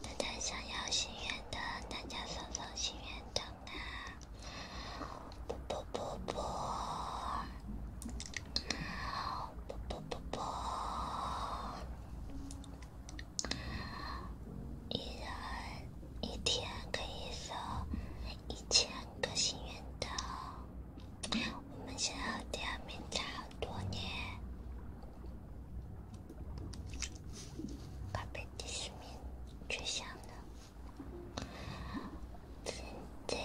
大家想要心愿灯，大家送送心愿灯啊！不不不不，不不不不，一人一天可以送一千个心愿灯。我们想要点亮多少多年？咖啡提神，绝香了！认真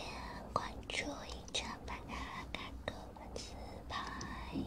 关注隐藏版的卡哥粉丝牌。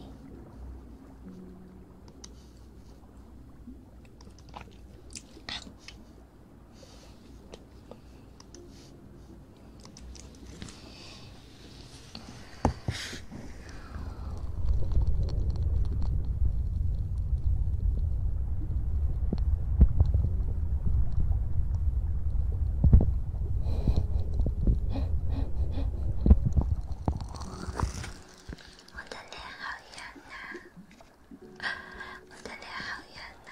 我的脸好圆呐，我的脸好圆呐。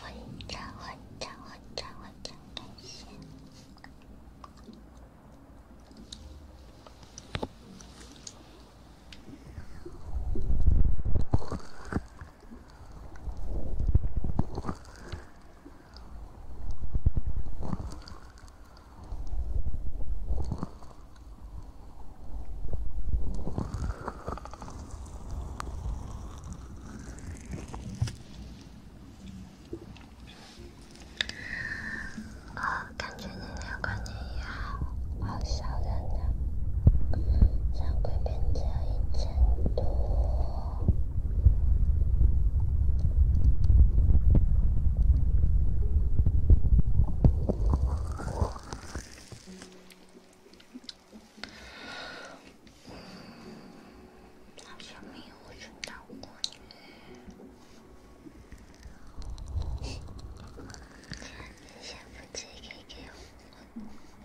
混账！混账！混账！混账！该死！啊，感觉今天过年也好，好小人呢，场馆门票一千多。好像没有收到过你。你先不急，可以给我，我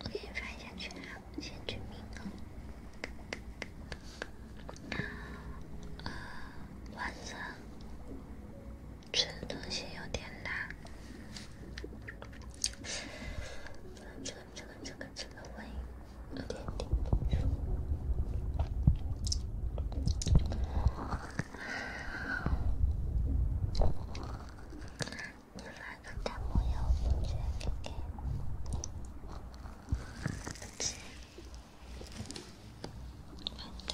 我给你发下去。先去睡觉。啊，晚上。吃的东西有点辣，这个这个这个这个胃有点顶。你来个弹幕哟，绝 K K，亲，好的。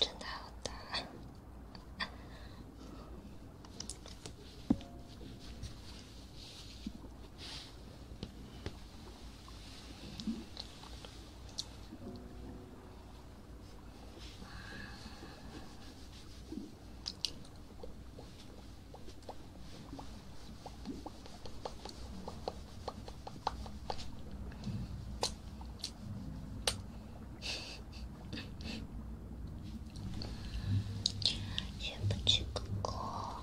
真的好大！也不去搞。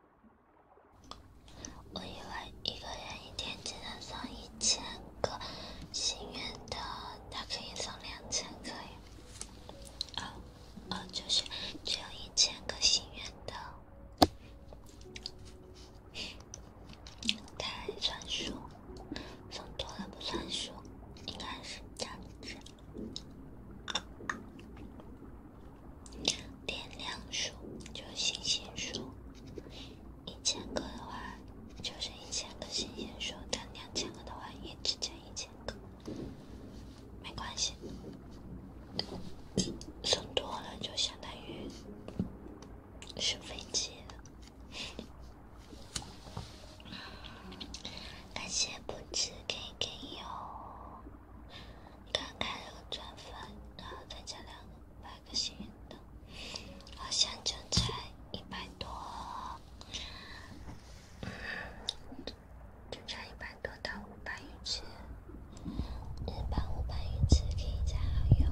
我以为一个人一天只能送一千个心愿的，他可以送两千个。哦，哦，就是只有一千个心愿的，太算数，送多了不算数，应该是这样子。点亮数就是星星数，一千个的话就是一千个星星数，但两千个的话也只加一千个，没关系，送多了就相当于是飞机了。感谢不止 K K 哟。刚开了个钻粉，然后增加两个一百个幸运豆，好像就差一百多，就差一百多到五百运气，一百五百运气可以加油。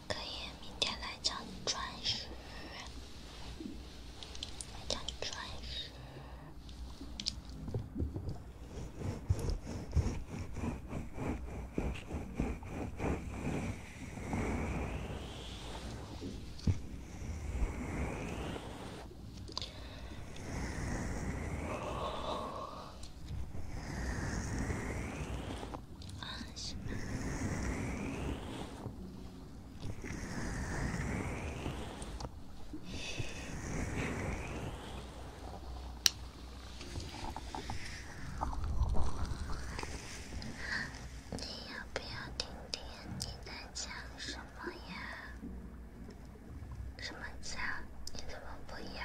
可以，明天来讲钻石，来讲钻石。啊，行。你要不要听听你在讲什么呀？什么讲？你怎么不讲？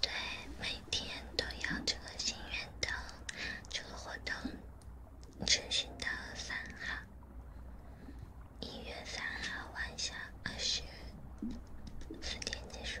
对，每天都要这个心愿灯，这个活动持续到三号，一月三号晚霞二十四点结束。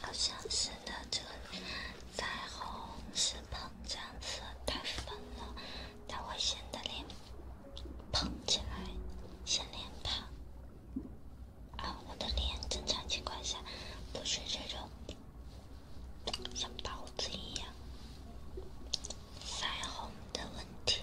好像是的，这个腮红是膨胀色，太粉了，它会显得脸胖起来，显脸胖。啊，我的脸正常情况下不是这种像包子一样，腮红的问题。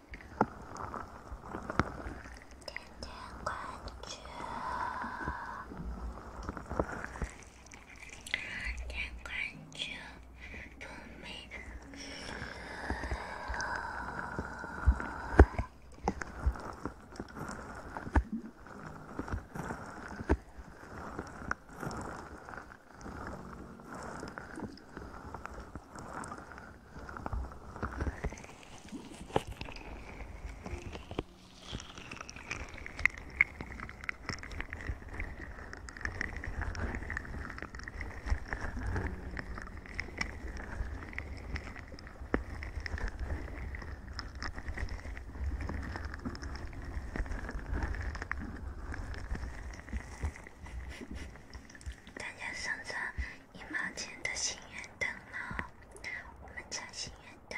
点点关注，点关注不迷路。大家上车。一毛钱的心愿灯吗？我们扎心愿灯。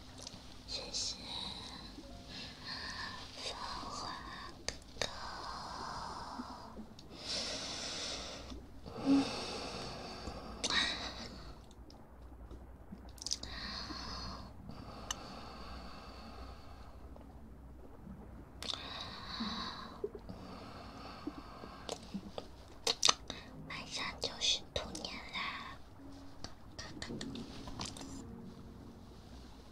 谢谢，芳华哥哥。嗯，马上就是兔年啦。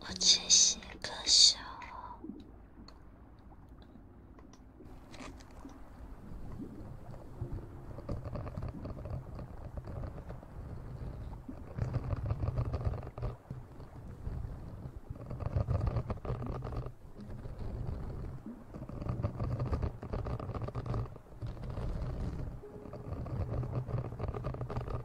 我真是可笑。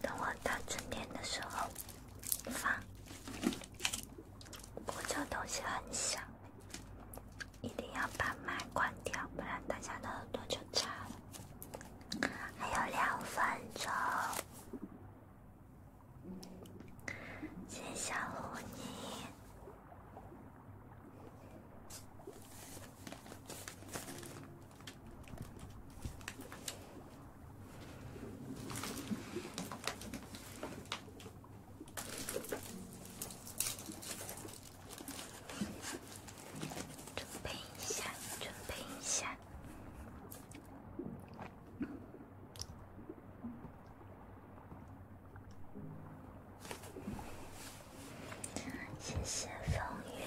等我到春天的时候放。我这东西很小，一定要把麦关掉，不然大家的耳朵就炸了。还有两分钟。先吓唬你，准备一下，准备一下。谢谢风云，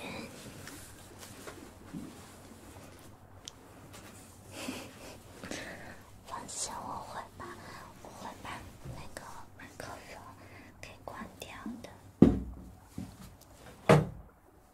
放心，我会把我会把那个麦克风给关掉的。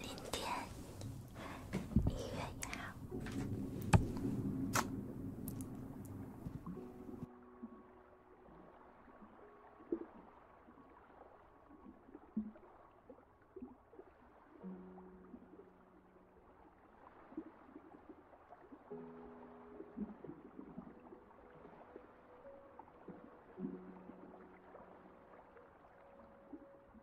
零点一月一号。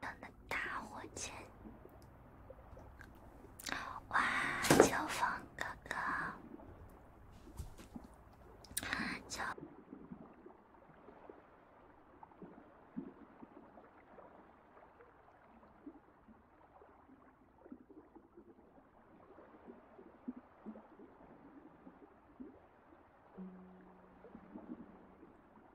扔的打火机，哇！秋风哥哥，秋。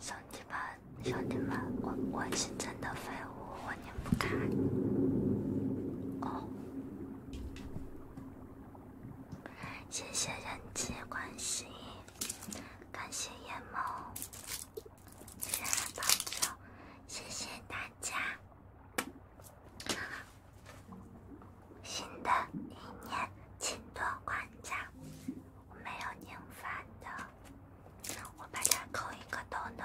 兄弟们，兄弟们，我我是真的废物，我拧不开。哦，谢谢人际关系，感谢夜猫。谢谢包子，谢谢大家。新的一年，请多关照。没有拧发的，我把它扣一个洞的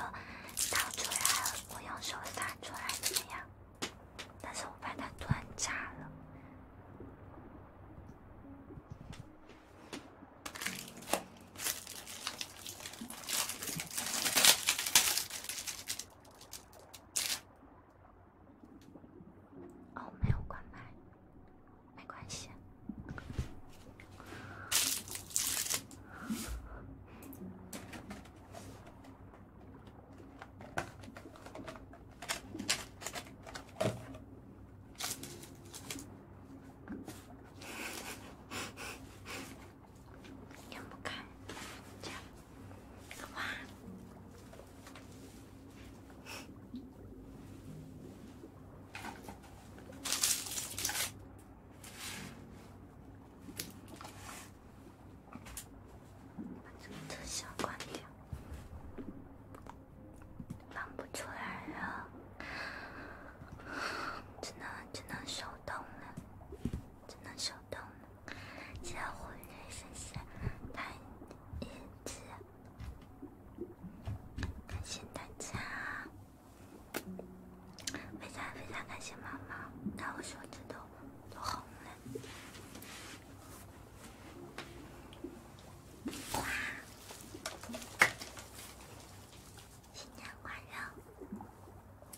倒出来，我用手撒出来怎么样？但是我把它断炸了。哦，没有关麦，没关系。看 不看？加。把这个特效关掉，放不出来了，只能只能手动了。只能手动了。谢谢狐狸神仙，太英感谢大家，非常非常感谢妈妈，看我手指头都红了。哇！新年快乐！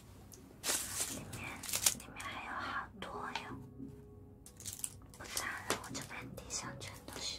里面，里面还有好多哟！不打了，我这边地上全都是。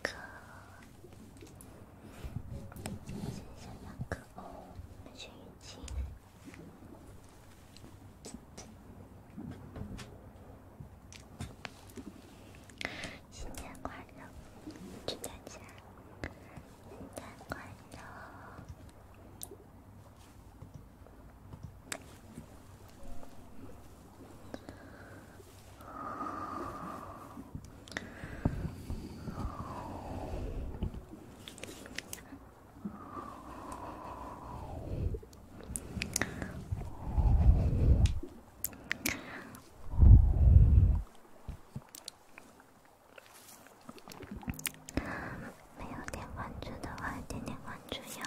个，剩下两个哦，安全预警。新年快乐，祝大家新年快乐。没有点关注的话，点点关注哟。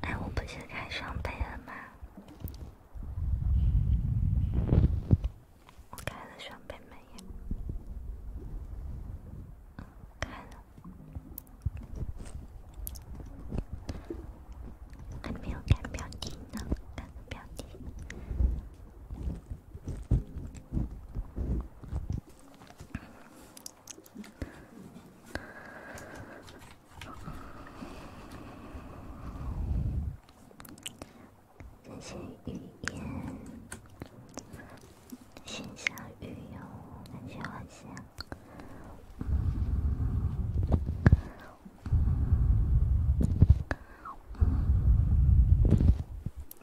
哎，我不是开双倍了吗？我开了双倍美颜，开了，还没有改标题呢，改标题。在线语音，线下语音，感谢分享。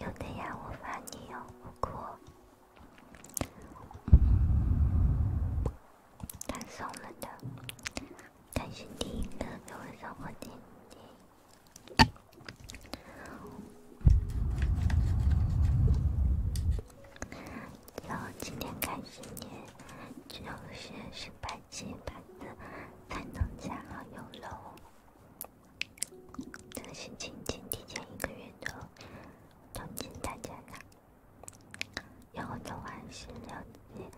有的呀，我发你哟，不过他送了的，但是第一个给我送我，然后今天开始你就是升班期，反正才能加好友喽。这是亲亲提前一个月的重庆特产啦，有很多还是了解，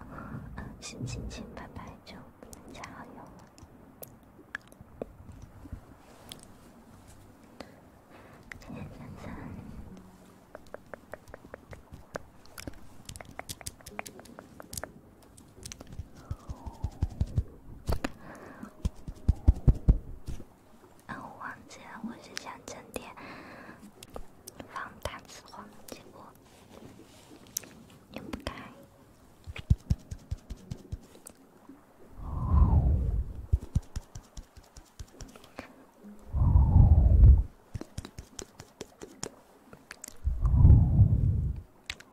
嗯，是亲亲白白就不能加好友了。再见，再见。啊，我忘记了，我是想整点放大字画，结果用不开。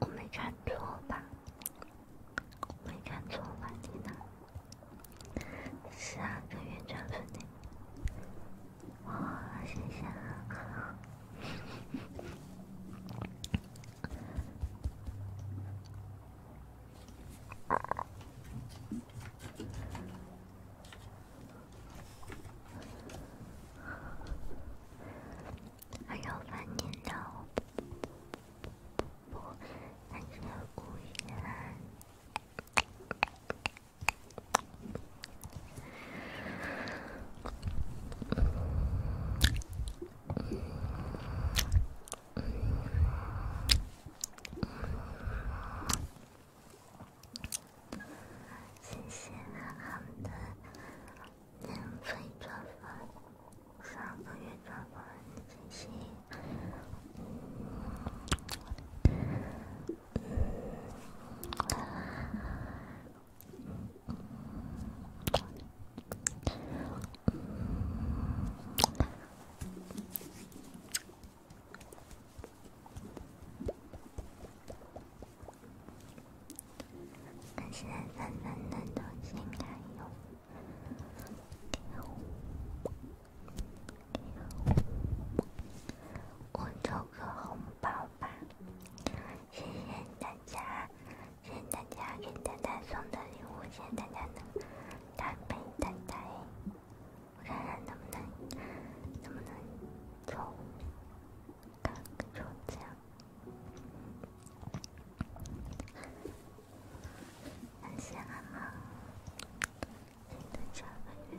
我没看错吧？没看错吧？你呢？是啊，跟院长哇，谢谢哥哥！还有半年的，不，还有五天。谢谢他们的免费转发，上个月转发的信息。我，给个红包。吧，谢谢大家，谢谢大家给丹丹送的礼物，谢谢大家能搭配丹丹，我看看能不能，能不能抽，看能抽奖，很羡慕啊，丹丹家的月。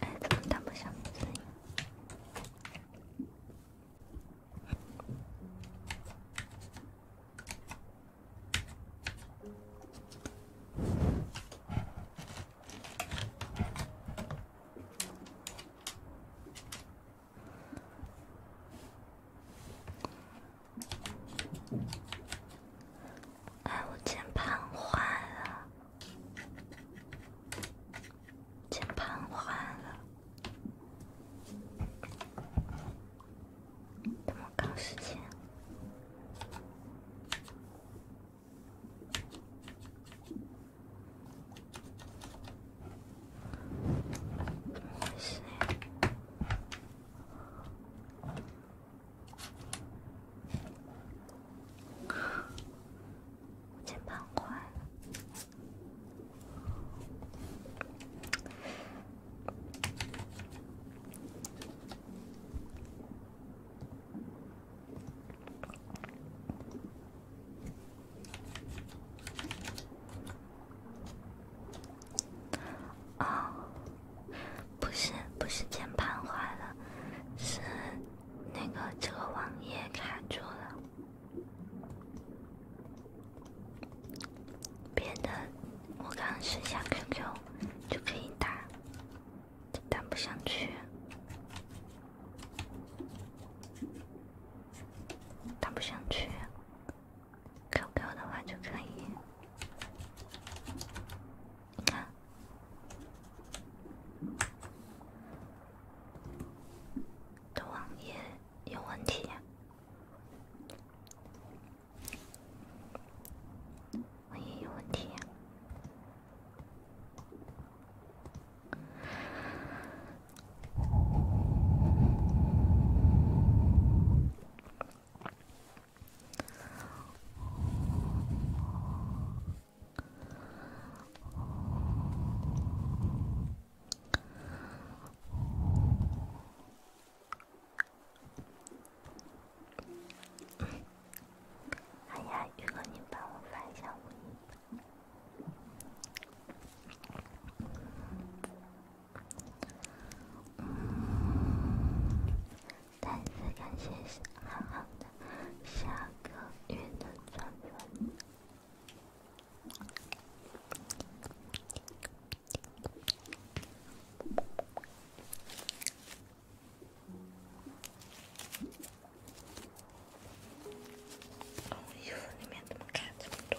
哎，怎么那么小声音？哎，我键盘坏了，键盘坏了，怎么搞时间？我也是。五千八块。不是，不是键盘坏了，是那个这个网页卡住了。别的，我刚刚试下 QQ 就可以打，打不上去，打不上去，QQ 的话就可以。你看，的网页有问题呀，网页有问题呀。哎呀，宇哥，你帮我发一下五再次感谢小浩的下个月的转粉。我衣服里面怎么卡这么多？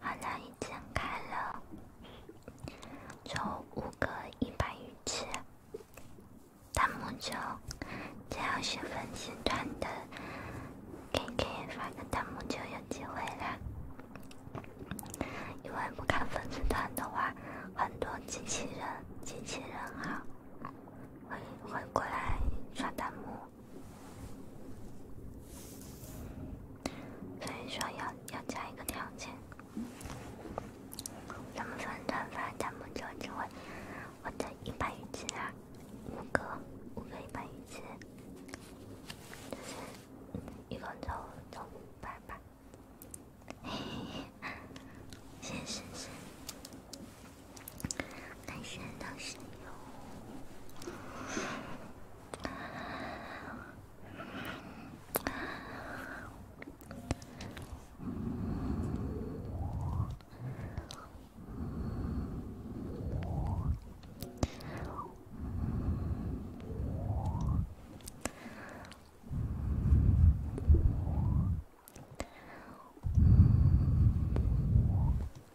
好像已经开了，就五个一百鱼池。弹幕中只要是粉丝团的，可以发个弹幕就有机会了。因为不看粉丝团的话，很多机器人机器人啊会会过来刷弹幕。所以说要要加一个条件，咱们分团发，咱们就只我我的一百鱼币啊，五个五个一百鱼币，就是一共就就五百吧。嘿嘿嘿，谢谢婶婶。男神都是有。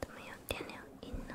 怎么样？点亮一呢？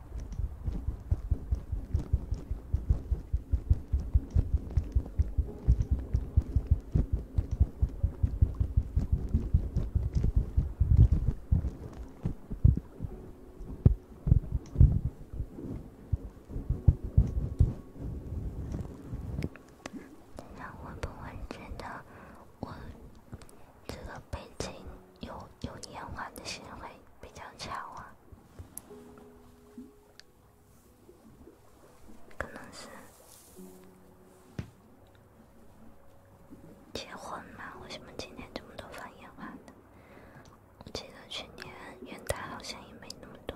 那会不会真的我这个背景有有夜晚的行为比较巧啊？可能是结婚嘛？为什么今年这么多放烟花呢？我记得去年元旦好像也没那么多。